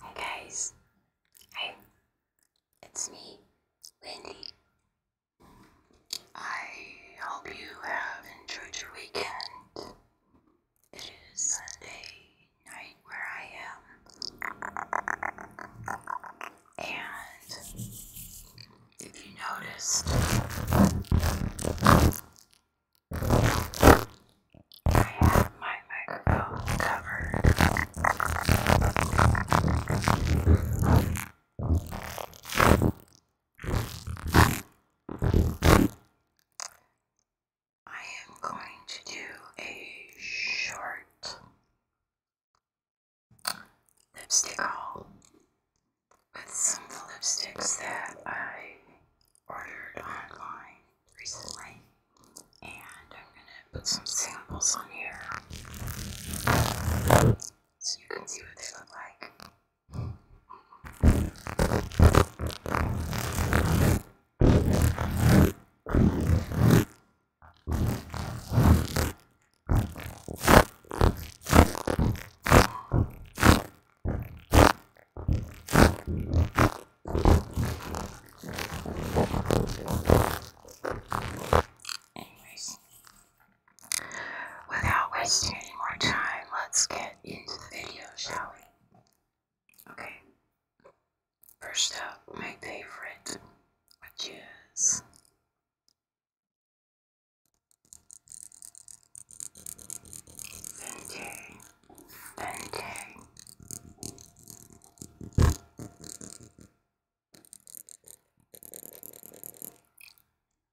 Hi guys, hey, it's me, Wendy. I hope you have enjoyed your weekend. It is Sunday night where I am, and if you noticed, I have my microphone covered. I am going to do a short lipstick haul with some lipsticks that I ordered online recently, and I'm gonna put some samples on here so you can see what they look like. Anyways, without wasting any more time, let's get into the video, shall we? Okay. First up, my favorite, which is Benji, Benji. Benji,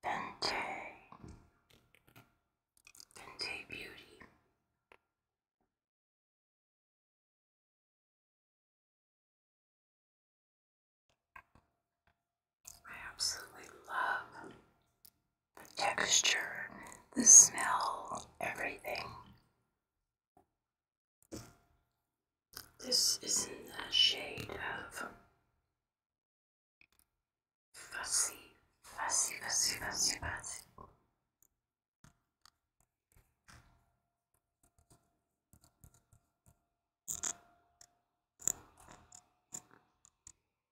Benji Beauty. I absolutely love the texture, the smell, everything. This is in the shade of fussy, fussy, fussy, fussy, fussy.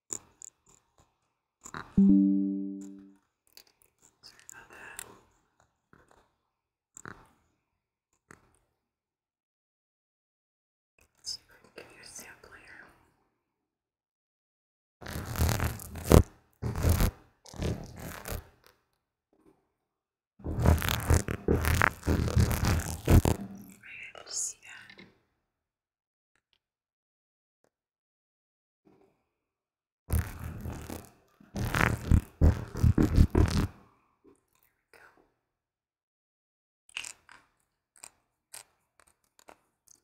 Sorry about that. Let's see if I can give you a sample here. Are you able to see that?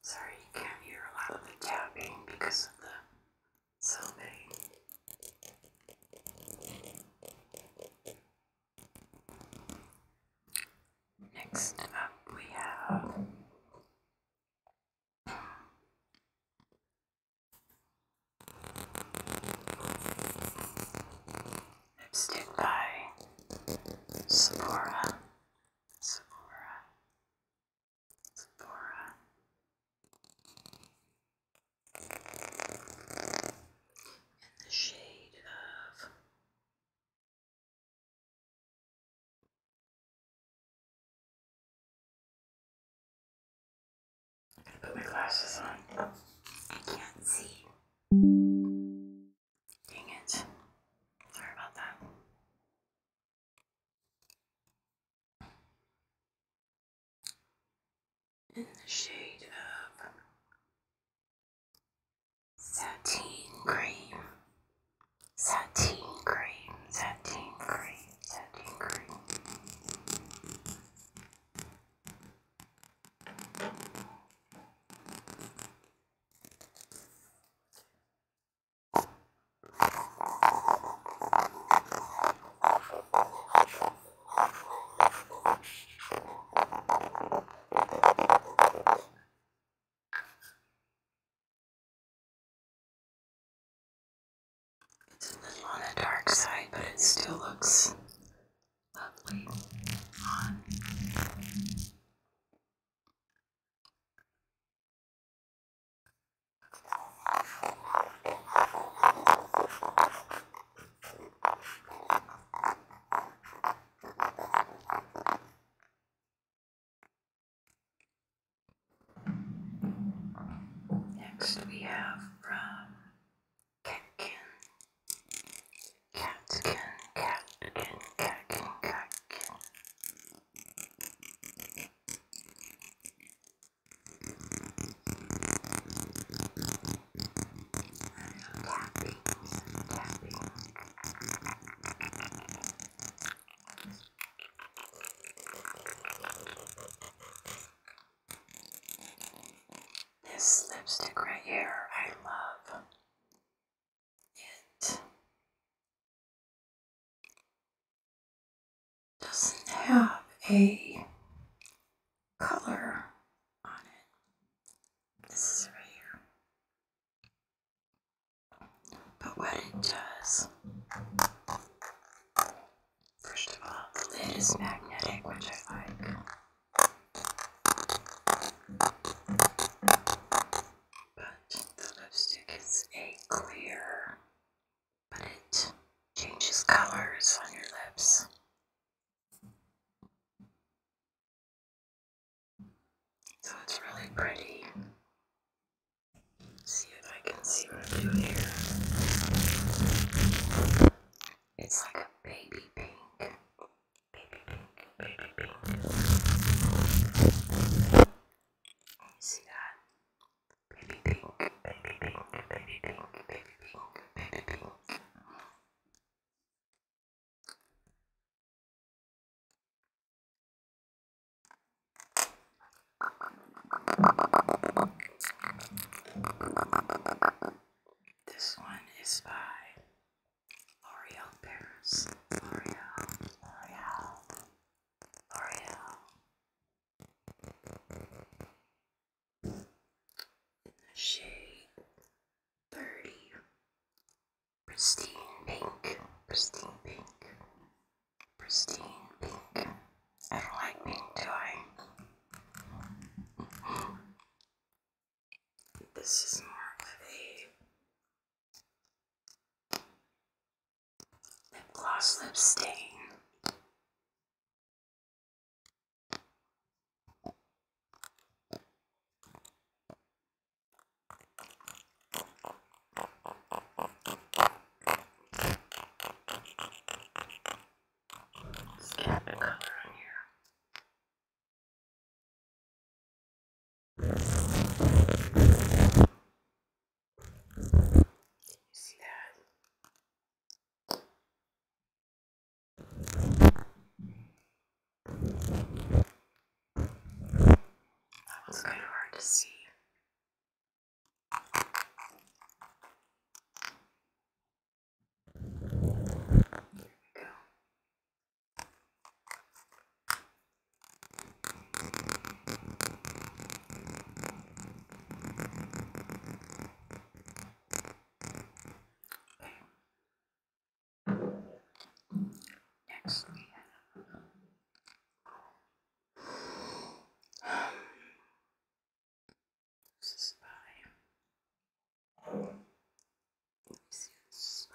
Sorry, you can't hear a lot of the tapping because of the so many Next up, we have lipstick Sephora. Sephora. Sephora. In the shade of got put my glasses on. I can't see. Dang it. Sorry about that. In the shade of Satin cream. satin cream. satin cream. satin cream. It's a little on the dark side, but it still looks lovely on. Next we have from Catkin, Catkin, Catkin, Catkin, Catkin. This lipstick right here, I love it. Doesn't have a color on it. This is for you. But what it does, first of all, the lid is magnetic, which I like. But the lipstick is a clear, but it changes colors on your lips. So it's really pretty. see if I can see right through here. It's like a baby pink. Baby pink, baby pink. You see that? Baby pink, baby pink, baby pink, baby pink, baby pink. This one is by L'Oreal Paris. L'Oreal, L'Oreal, L'Oreal shade 30 pristine pink pristine pink pristine pink I don't like pink do I? this is more of a lip gloss lip stain Let's get the color on here. You see that? That was kind of hard to see. There we go. Next, we have um, this is by let me see this is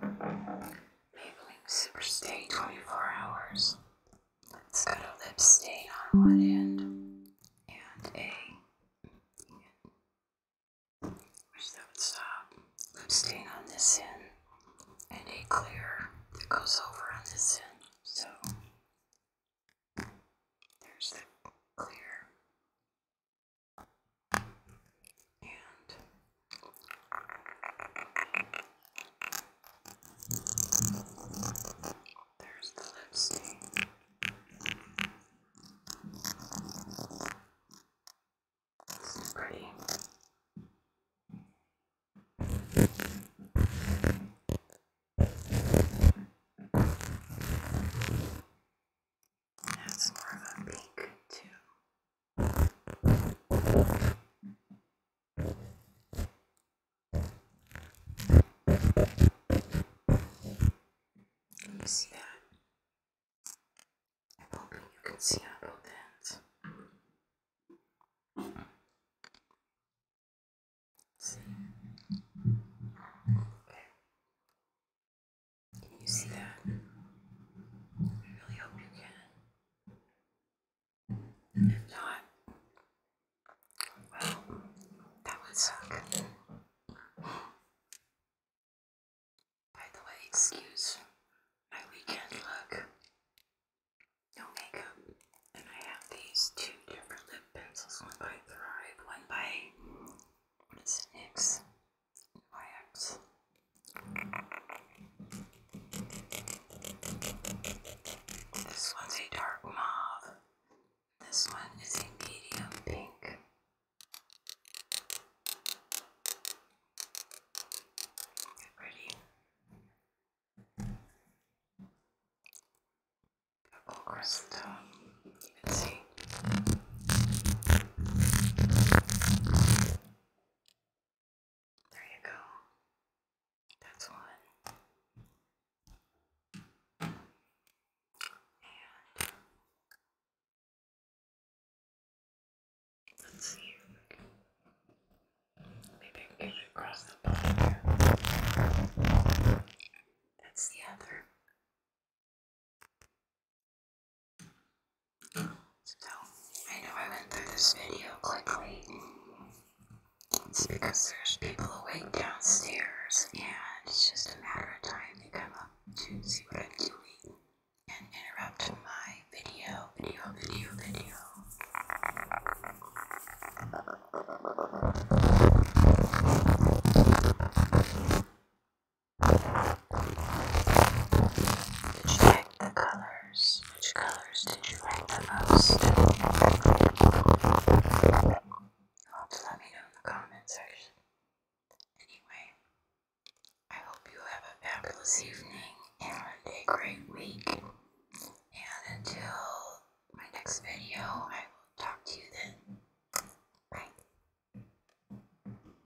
by Italy. Maybelline Superstay 24 Hours. It's got a lip stain on one end and a. Wish that would stop. Lip stain on this end and a clear that goes over on this end. So there's the clear. And there's the lipstick. It's pretty. That's more of a pink too. Can you see that? I hope you can see how about that. See? Okay. Can you see that? I really hope you can not, well, that would By the way, excuse my weekend look. No makeup. And I have these two different lip pencils, one by Thrive, one by, what is this one's a dark mauve. This one is a medium pink. Pretty. Purple crystal. You can see. There you go. That's one. let's see if I can the bottom That's the other. So, I know I went through this video quickly. It's because there's people waiting downstairs, and it's just a matter of time they come up to see what I'm doing and interrupt my video, video, video, video. Did the colors? Which colors did you like the most? Well, let me know in the comment section. Anyway, I hope you have a fabulous evening and a great week. And until my next video, I will talk to you then. Bye.